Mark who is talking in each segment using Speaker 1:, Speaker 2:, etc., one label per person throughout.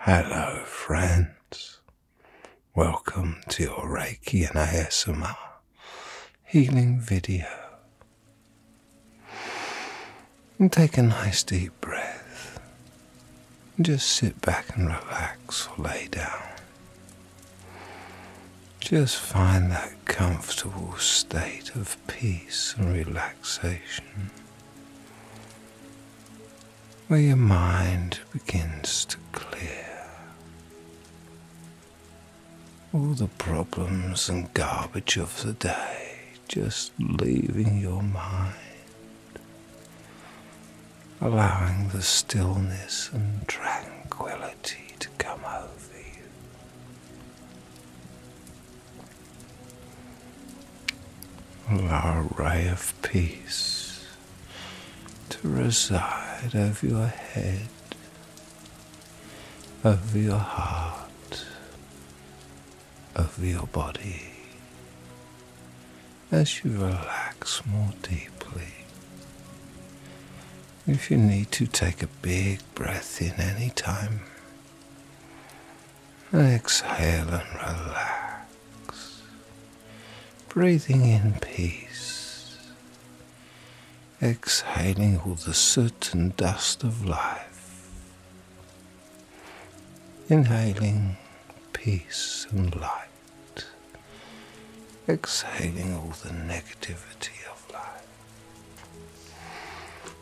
Speaker 1: Hello, friends. Welcome to your Reiki and ASMR healing video. take a nice deep breath. just sit back and relax or lay down. Just find that comfortable state of peace and relaxation, where your mind begins to clear. All the problems and garbage of the day just leaving your mind, allowing the stillness and tranquility to come over you. Allow a ray of peace to reside over your head, over your heart, over your body as you relax more deeply. If you need to, take a big breath in any time Exhale and relax, breathing in peace, exhaling all the soot and dust of life, inhaling peace and light, exhaling all the negativity of life.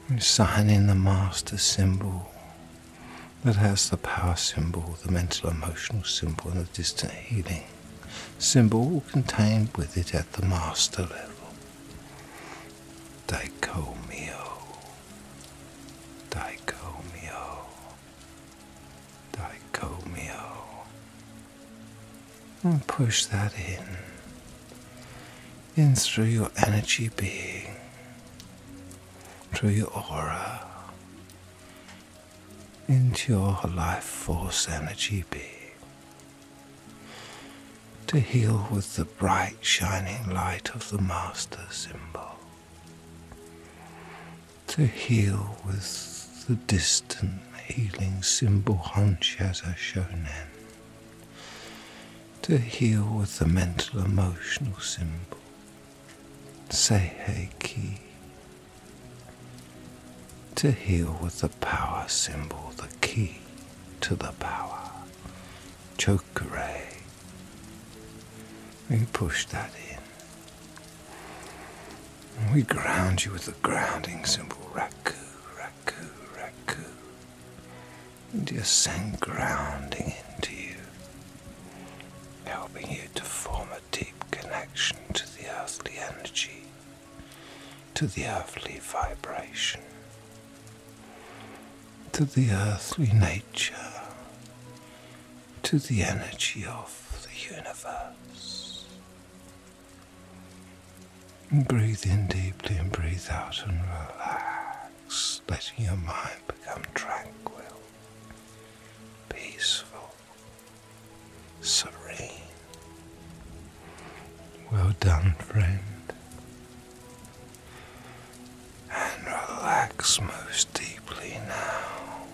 Speaker 1: We Signing the master symbol that has the power symbol, the mental emotional symbol, and the distant healing symbol all contained with it at the master level. Dicomio. Dicomio. Dicomio and push that in, in through your energy being, through your aura, into your life force energy being, to heal with the bright shining light of the Master symbol, to heal with the distant healing symbol Honshasa Shonen to heal with the mental emotional symbol. Say Heiki. To heal with the power symbol, the key to the power. Chokure. We push that in. We ground you with the grounding symbol, Raku, Raku. Raku, Raku. And you send grounding into you, helping you to form a deep connection to the earthly energy, to the earthly vibration, to the earthly nature, to the energy of the universe breathe in deeply and breathe out and relax, letting your mind become tranquil, peaceful, serene. Well done, friend. And relax most deeply now,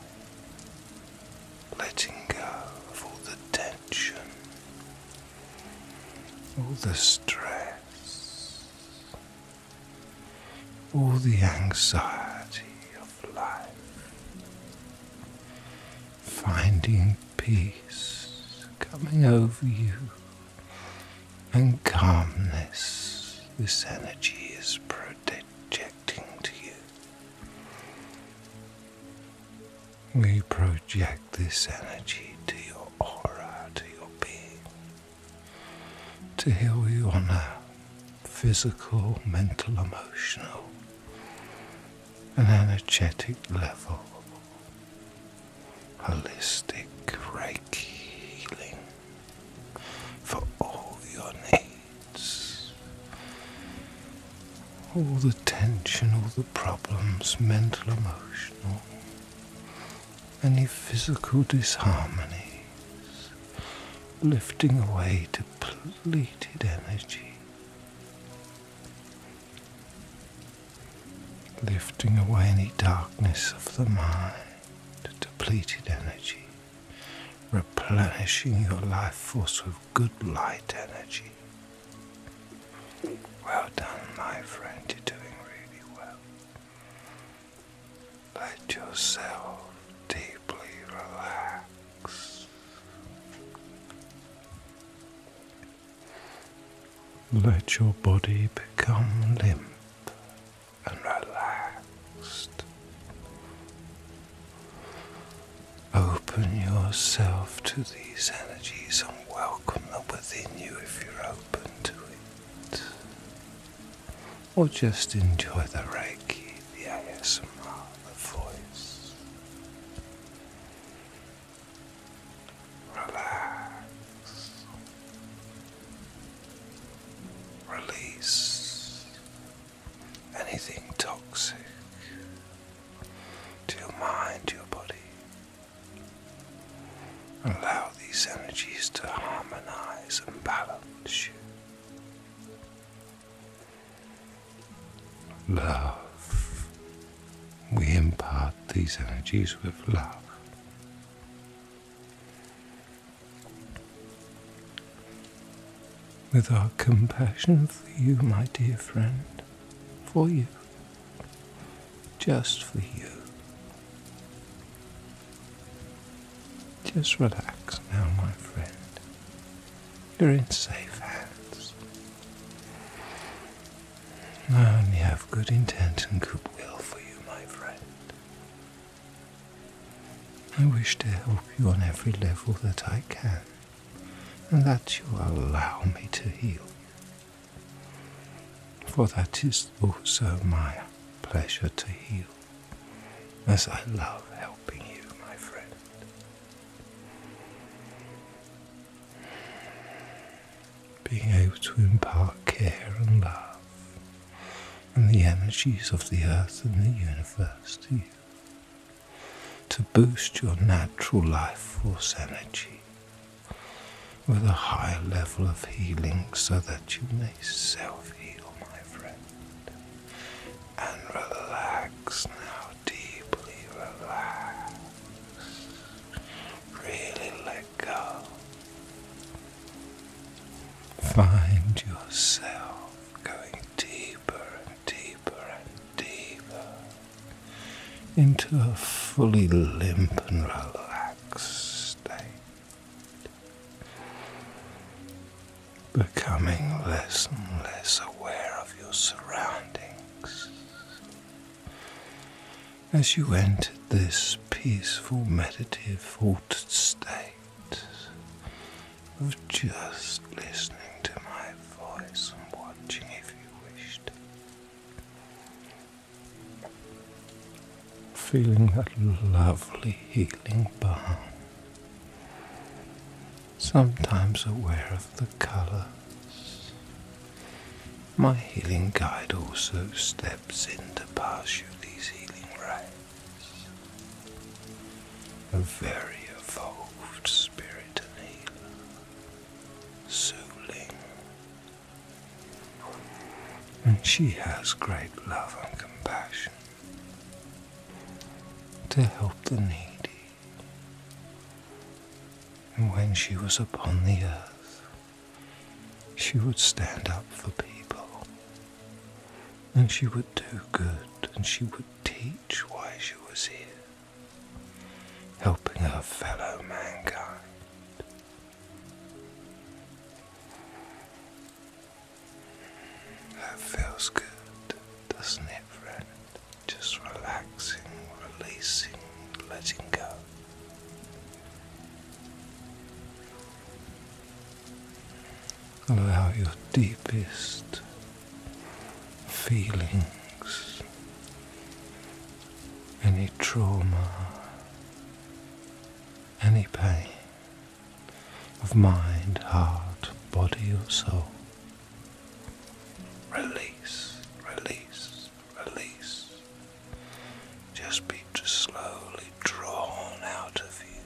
Speaker 1: letting go of all the tension all the stress, all the anxiety of life, finding peace coming over you and calmness. This energy is projecting to you we project this energy to your aura, to your being, to heal you on a physical, mental, emotional, and energetic level. Holistic Reiki healing for all your needs all the tension, all the problems, mental, emotional, any physical disharmonies, lifting away depleted energy, lifting away any darkness of the mind, depleted energy, replenishing your life force with good light energy. Well done, my friend, you're doing really well. Let yourself deeply relax. Let your body become limp and relaxed. Open yourself to these energies and welcome them within you if you're open to it. Or just enjoy the Reiki, the ASMR, the voice. Relax. Release anything toxic to your mind, to your body. Allow these energies to harmonize and balance you. Love. We impart these energies with love. With our compassion for you, my dear friend, for you, just for you. Just relax now, my friend. You're in safe hands. I only have good intent and good will for you, my friend. I wish to help you on every level that I can and that you allow me to heal you. For that is also my pleasure to heal, as I love helping you, my friend. Being able to impart care and love and the energies of the earth and the universe to you to boost your natural life force energy with a high level of healing so that you may self heal, my friend. And relax now, deeply relax. Really let go. Find yourself going deeper deeper and deeper into a fully limp and relaxed state, becoming less and less aware of your surroundings. As you entered this peaceful, meditative, altered state of just listening to my voice and watching if wished. Feeling that lovely healing balm. Sometimes aware of the colors. My healing guide also steps in to pass you these healing rites. A very evolved spirit and healer soothing. And she has great love and compassion to help the needy. And when she was upon the earth, she would stand up for people, and she would do good, and she would teach why she was here, helping her fellow mankind. That feels good, doesn't it, friend? Just relaxing, releasing, letting go. Allow your deepest, feelings, any trauma, any pain of mind, heart, body, or soul. Release, release, release. Just be just slowly drawn out of you.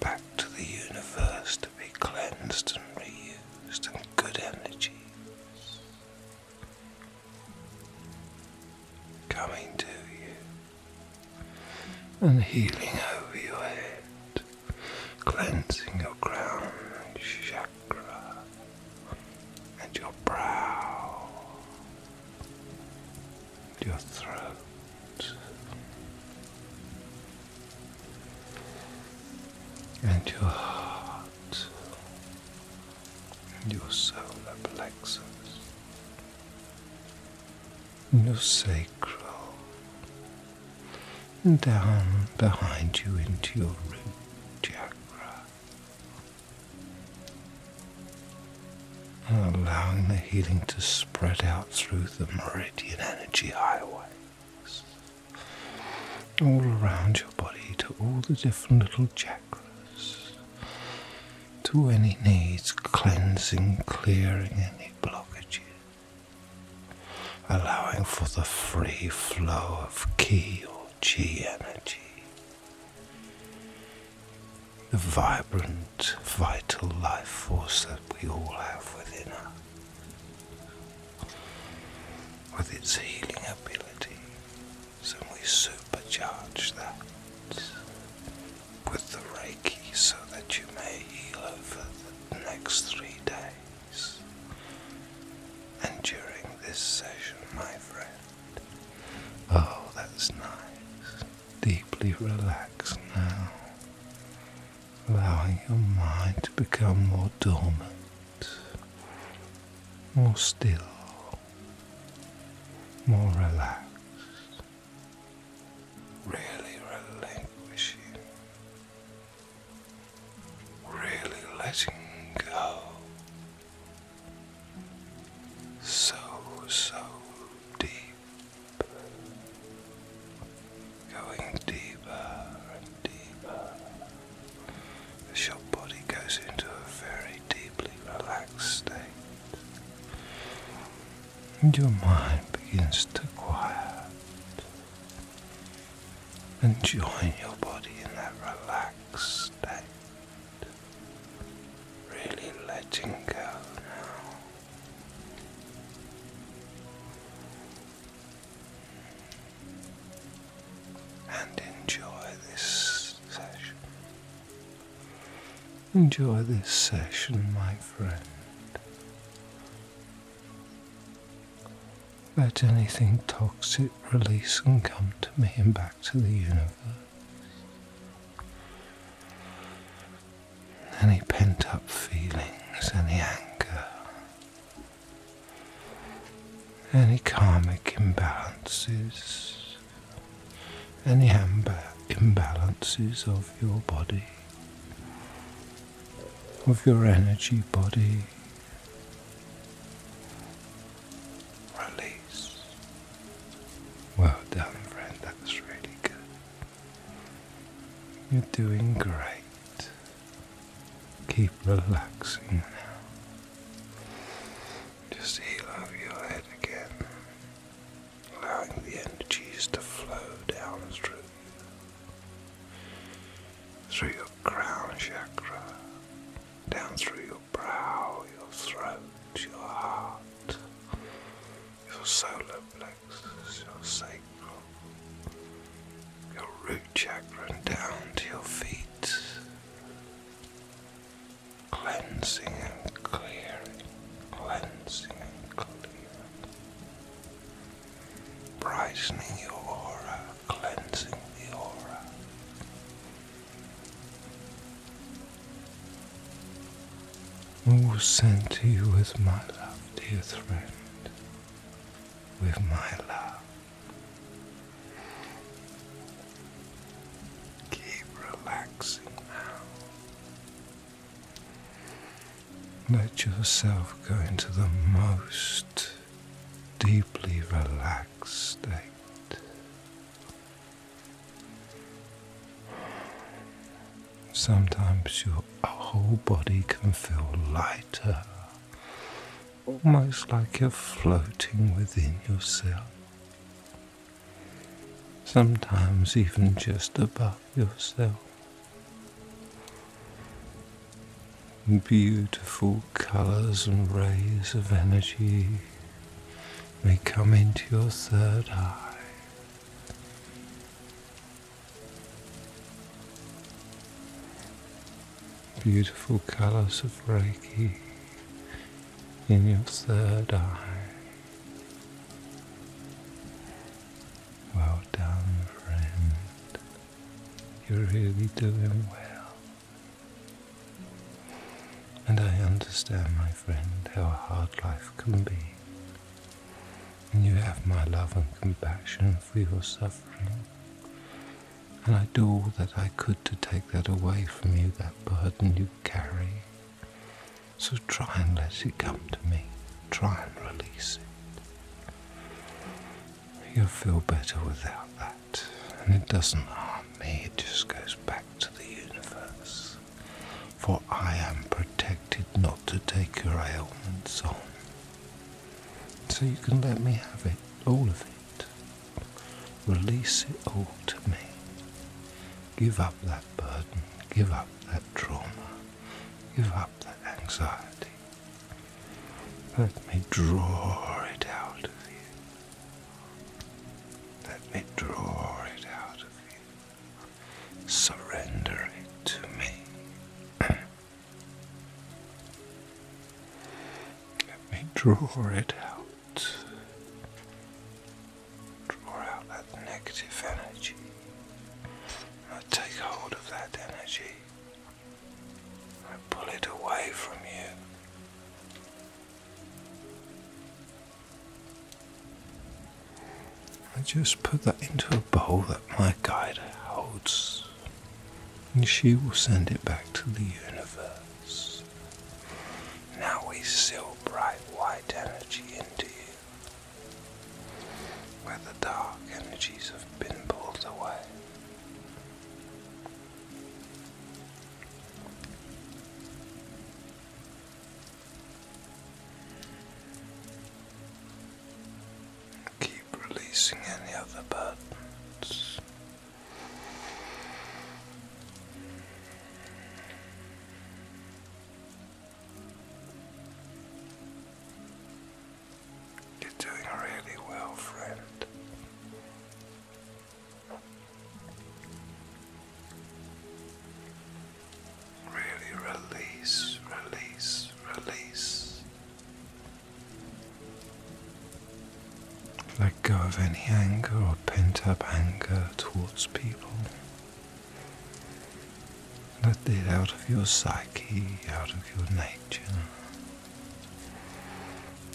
Speaker 1: Back to the universe to be cleansed and reused some good energies coming to you and healing over your head, cleansing your crown chakra and your brow, your throat and your heart and your solar plexus and your sacral and down behind you into your root chakra and allowing the healing to spread out through the meridian energy highways all around your body to all the different little chakras, to any needs, cleansing, clearing any blockages, allowing for the free flow of ki or chi energy. The vibrant, vital life force that we all have within us with its healing ability, so we supercharge that with the Reiki so that you may heal over the next three days. And during this session, my friend, oh, that's nice. Deeply relax now allowing your mind to become more dormant, more still, more relaxed. Really relinquishing, really letting go. So, so deep going deeper and deeper as your body goes into a very deeply relaxed state and your mind begins to quiet and join your body in that relaxed state really letting go now and enjoy this session. Enjoy this session, my friend. Let anything toxic release and come to me and back to the universe any pent up feelings, any anger, any karmic imbalances, any imbalances of your body, of your energy body. Release. Well done, friend, that was really good. You're doing great. Keep relaxing now. Just heal over your head again, allowing the energies to flow down through you, through your crown chakra, down through your brow, your throat, your heart, your solar plexus legs, your sacral, your root chakra, and down to your feet, cleansing and clearing, cleansing and clearing, brightening your aura, cleansing the aura all sent to you with my love, dear friend, with my love. Keep relaxing now. Let yourself go into the most deeply relaxed state. Sometimes your whole body can feel lighter, almost like you're floating within yourself. Sometimes even just above yourself. Beautiful colors and rays of energy may come into your third eye Beautiful colors of Reiki in your third eye. Well done, friend. You're really doing well. And I understand, my friend, how hard life can be and you have my love and compassion for your suffering. And I do all that I could to take that away from you, that burden you carry. So try and let it come to me. Try and release it. You'll feel better without that. And it doesn't harm me, it just goes back to the universe for I am protected not to take your ailments on. So you can let me have it, all of it. Release it all to me. Give up that burden, give up that trauma, give up that anxiety. Let me draw it out of you. Let me draw it out of you. Surrender it to me. Let me draw it out. Draw out that negative energy. I take hold of that energy. I pull it away from you. I just put that into a bowl that my guide holds, and she will send it back to the universe. Now we seal bright white energy into you, where the dark energies have been pulled away. Keep releasing any other buttons. You're doing really well, friend really release, release, release. Let go of any anger or pent up anger towards people. Let it out of your psyche, out of your nature.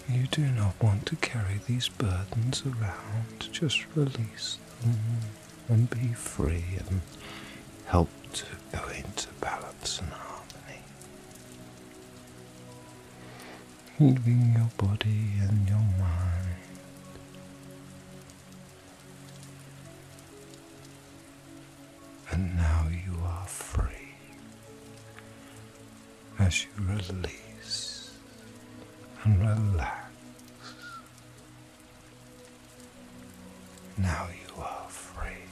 Speaker 1: You do not want to carry these burdens around, just release them and be free and help to go into balance and harmony. Healing your body and your mind. And now you are free as you release and relax now you are free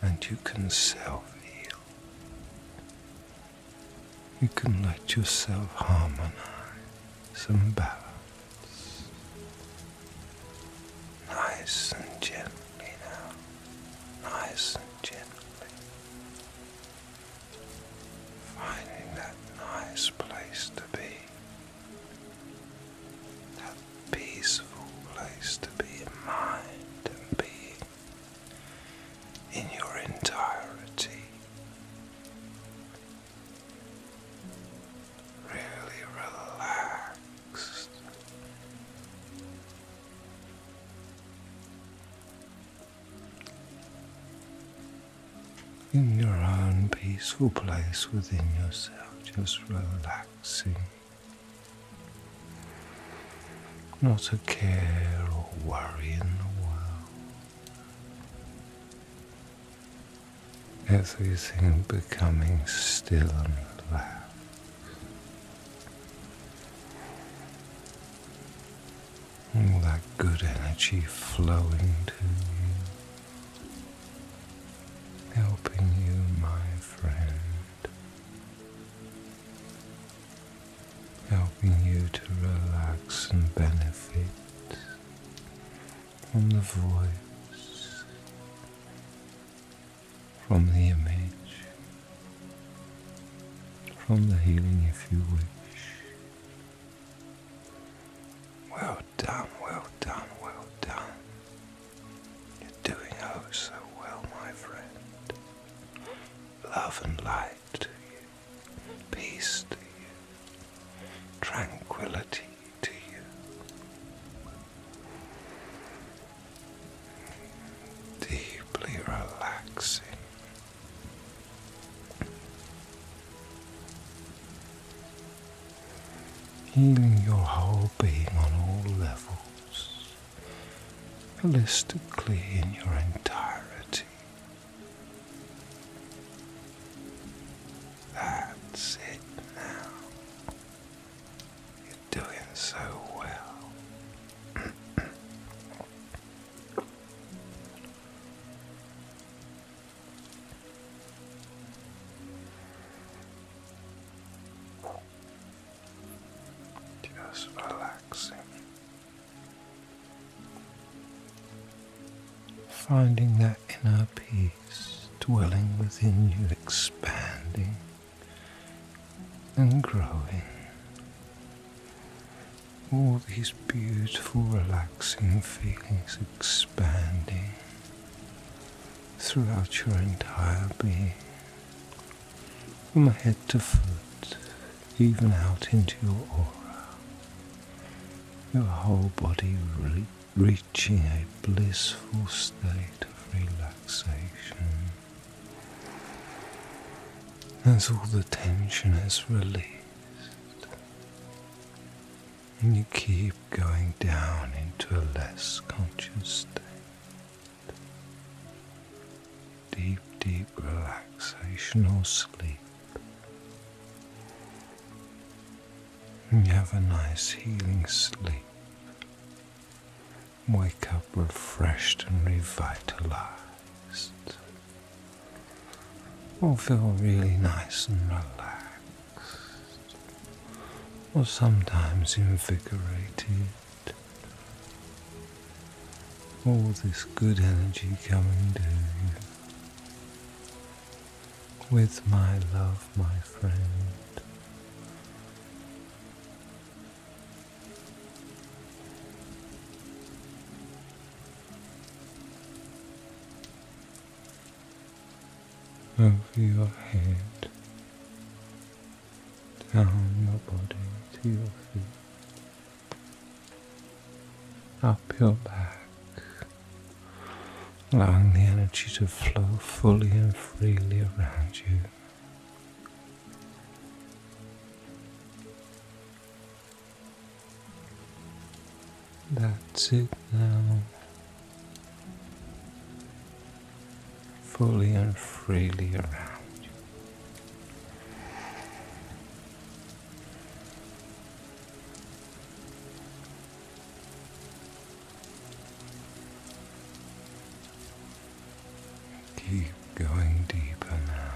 Speaker 1: and you can self heal. You can let yourself harmonize and balance. Nice and gently now. Nice and gently. Finding that nice place to be. That peaceful place to be in mind and being in your entirety. Really relaxed in your own peaceful place within yourself, just relaxing. Not a care or worry in the world. Everything becoming still and relaxed all that good energy flowing to you, helping you, my friend, helping you to relax and benefit from the voice, from the image, from the healing if you wish. Well done, well done, well done. You're doing oh so well, my friend. Love and light to you, peace to you, tranquility to you. Deeply relaxing Healing your whole being on all levels, holistically in your entirety. That's it now. You're doing so well. Just relaxing, finding that inner peace dwelling within you, expanding and growing all these beautiful, relaxing feelings expanding throughout your entire being, from head to foot, even out into your aura, your whole body reaching a blissful state of relaxation. As all the tension is released, and you keep going down into a less conscious state. Deep, deep relaxational sleep. And you have a nice healing sleep. Wake up refreshed and revitalized. Or feel really nice and relaxed, or sometimes invigorated. All this good energy coming to you. With my love, my friend over your head, down your body to your feet, up your back, allowing the energy to flow fully and freely around you. That's it now. Fully and freely around Keep going deeper now.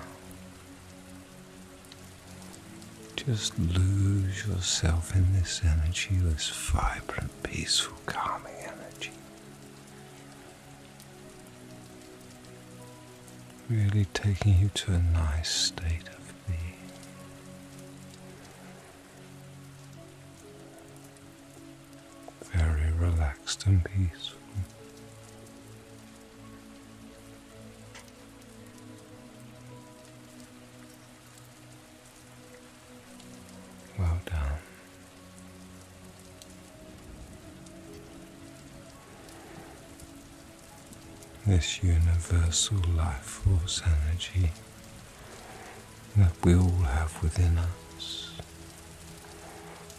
Speaker 1: Just lose yourself in this energy, this vibrant, peaceful, calming energy. Really taking you to a nice state of being. Very relaxed and peaceful. Well done. This universal life force energy that we all have within us,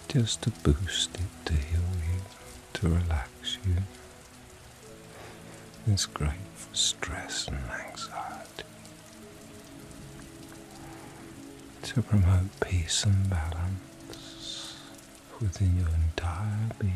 Speaker 1: just to boost it, to heal you, to relax you is great for stress and anxiety. To promote peace and balance within your entire being.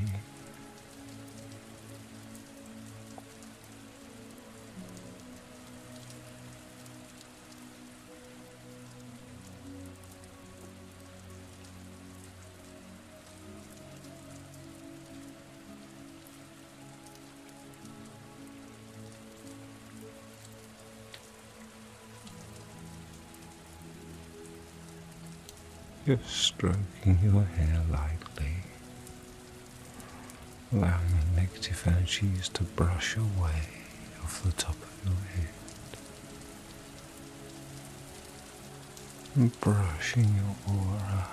Speaker 1: You're stroking your hair lightly, allowing the negative energies to brush away off the top of your head brushing your aura,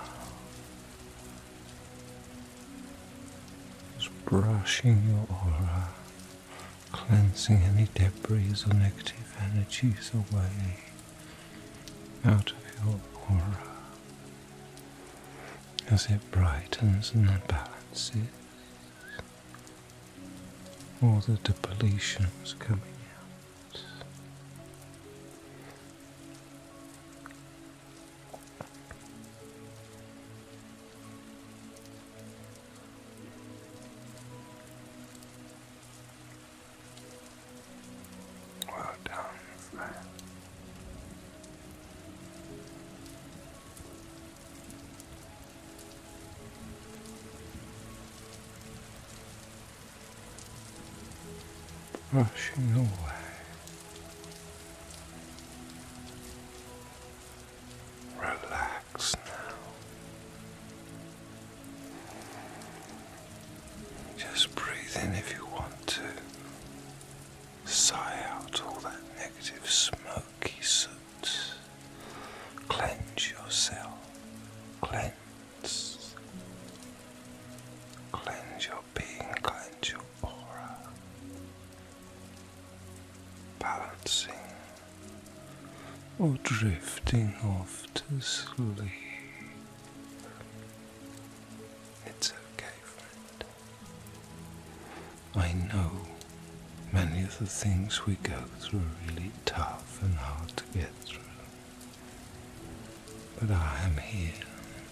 Speaker 1: just brushing your aura, cleansing any debris or negative energies away out of your aura as it brightens and balances all the depletions coming out. Well done, Relax now. Just breathe in if you want to. Sigh out all that negative smoky soot cleanse, cleanse yourself, cleanse, cleanse your being, cleanse your aura, balancing or drifting off to sleep. It's okay, friend. I know Many of the things we go through are really tough and hard to get through. But I am here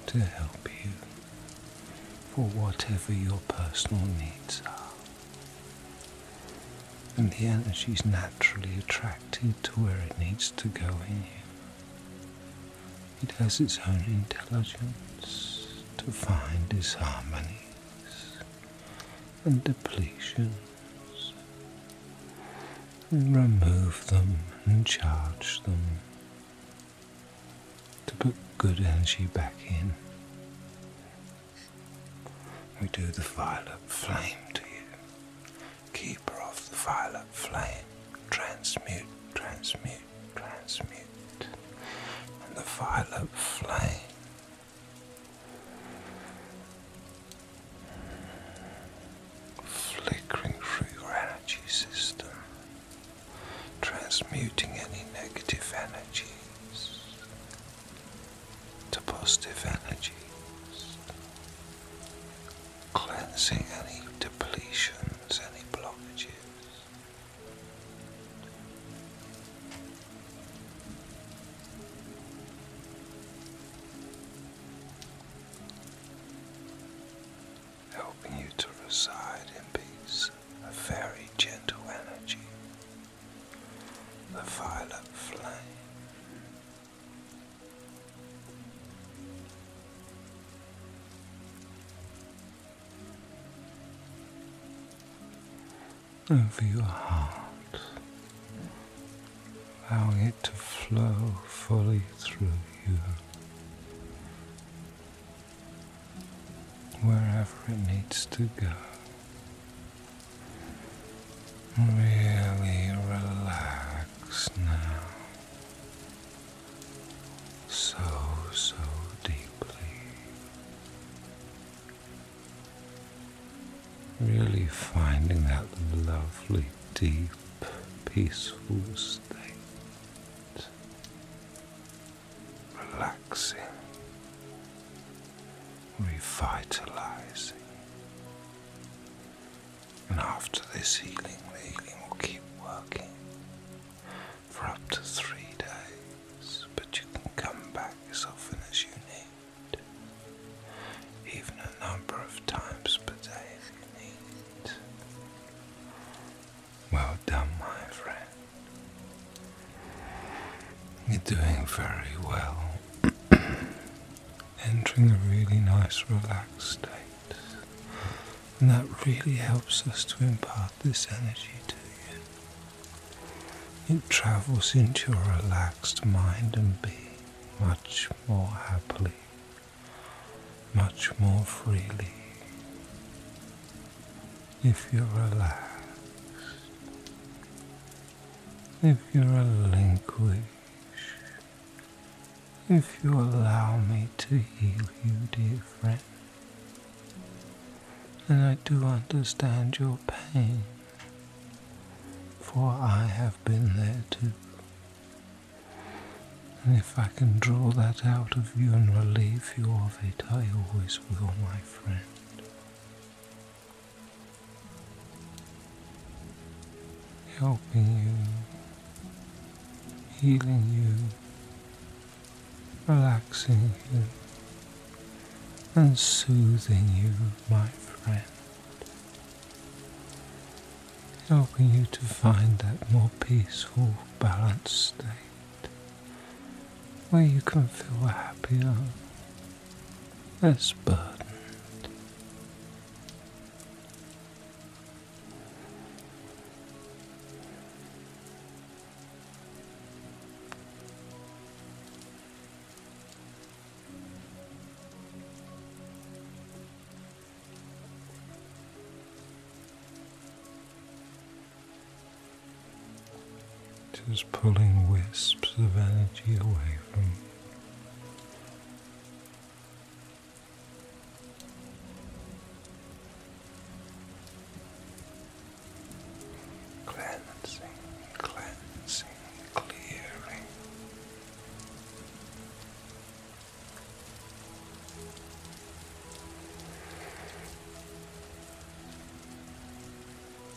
Speaker 1: to help you for whatever your personal needs are. And the energy is naturally attracted to where it needs to go in you. It has its own intelligence to find harmonies and depletion and remove them and charge them to put good energy back in. We do the violet flame to you. Keep her off the violet flame. Transmute, transmute, transmute. And the violet flame flickering through your energy system, transmuting any negative energies to positive energies, cleansing any depletions, any blockages helping you to reside in peace, a very gentle energy, the violet flame over your heart, allowing it to flow fully through you. wherever it needs to go. Really relax now. So, so deeply. Really finding that lovely, deep, peaceful state. Relaxing, revitalizing. And after this healing, the healing will keep working for up to three days, but you can come back as often as you need even a number of times per day if need. Well done, my friend. You're doing very well. Entering a really nice, relaxed state. And that really helps us to impart this energy to you. It travels into your relaxed mind and be much more happily, much more freely. If you're relaxed, if you relinquish, if you allow me to heal you, dear friend, and I do understand your pain for I have been there too. And if I can draw that out of you and relieve you of it, I always will, my friend. Helping you, healing you, relaxing you, and soothing you, my friend, helping you to find that more peaceful, balanced state where you can feel happier, less burdened. Just pulling wisps of energy away from you cleansing, cleansing, clearing.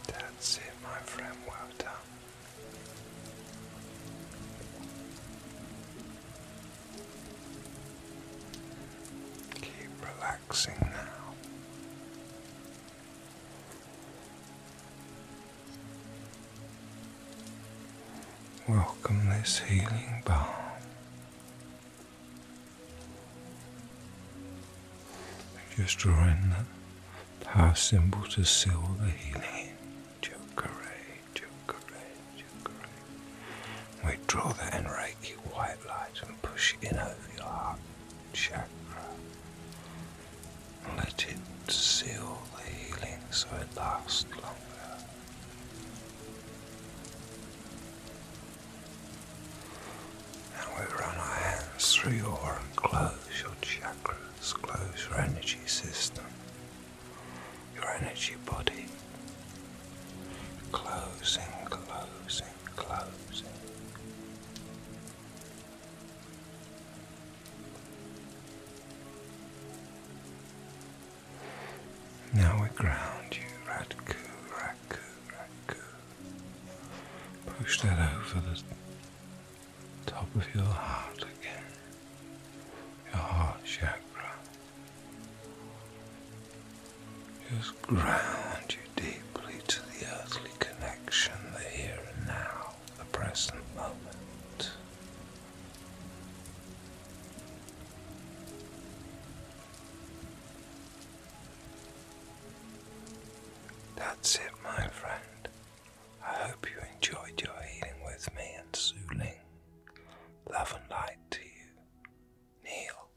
Speaker 1: That's it, my friend. Well done. Keep relaxing now. Welcome this healing balm. Just drawing that power symbol to seal the healing. Chokare, chokare, chokare. We draw that in white light and push it in over your heart chakra and let it seal the healing so it lasts longer. And we run our hands through your and close your chakras, close your energy system, your energy body. Closing, closing, and Now we ground you, Radku, Radku, Radku. Push that over the top of your heart again, your heart chakra. Just ground you deeply to the earthly connection, the here and now, the present moment. That's it, my friend. I hope you enjoyed your healing with me and Su Love and light to you. Neil.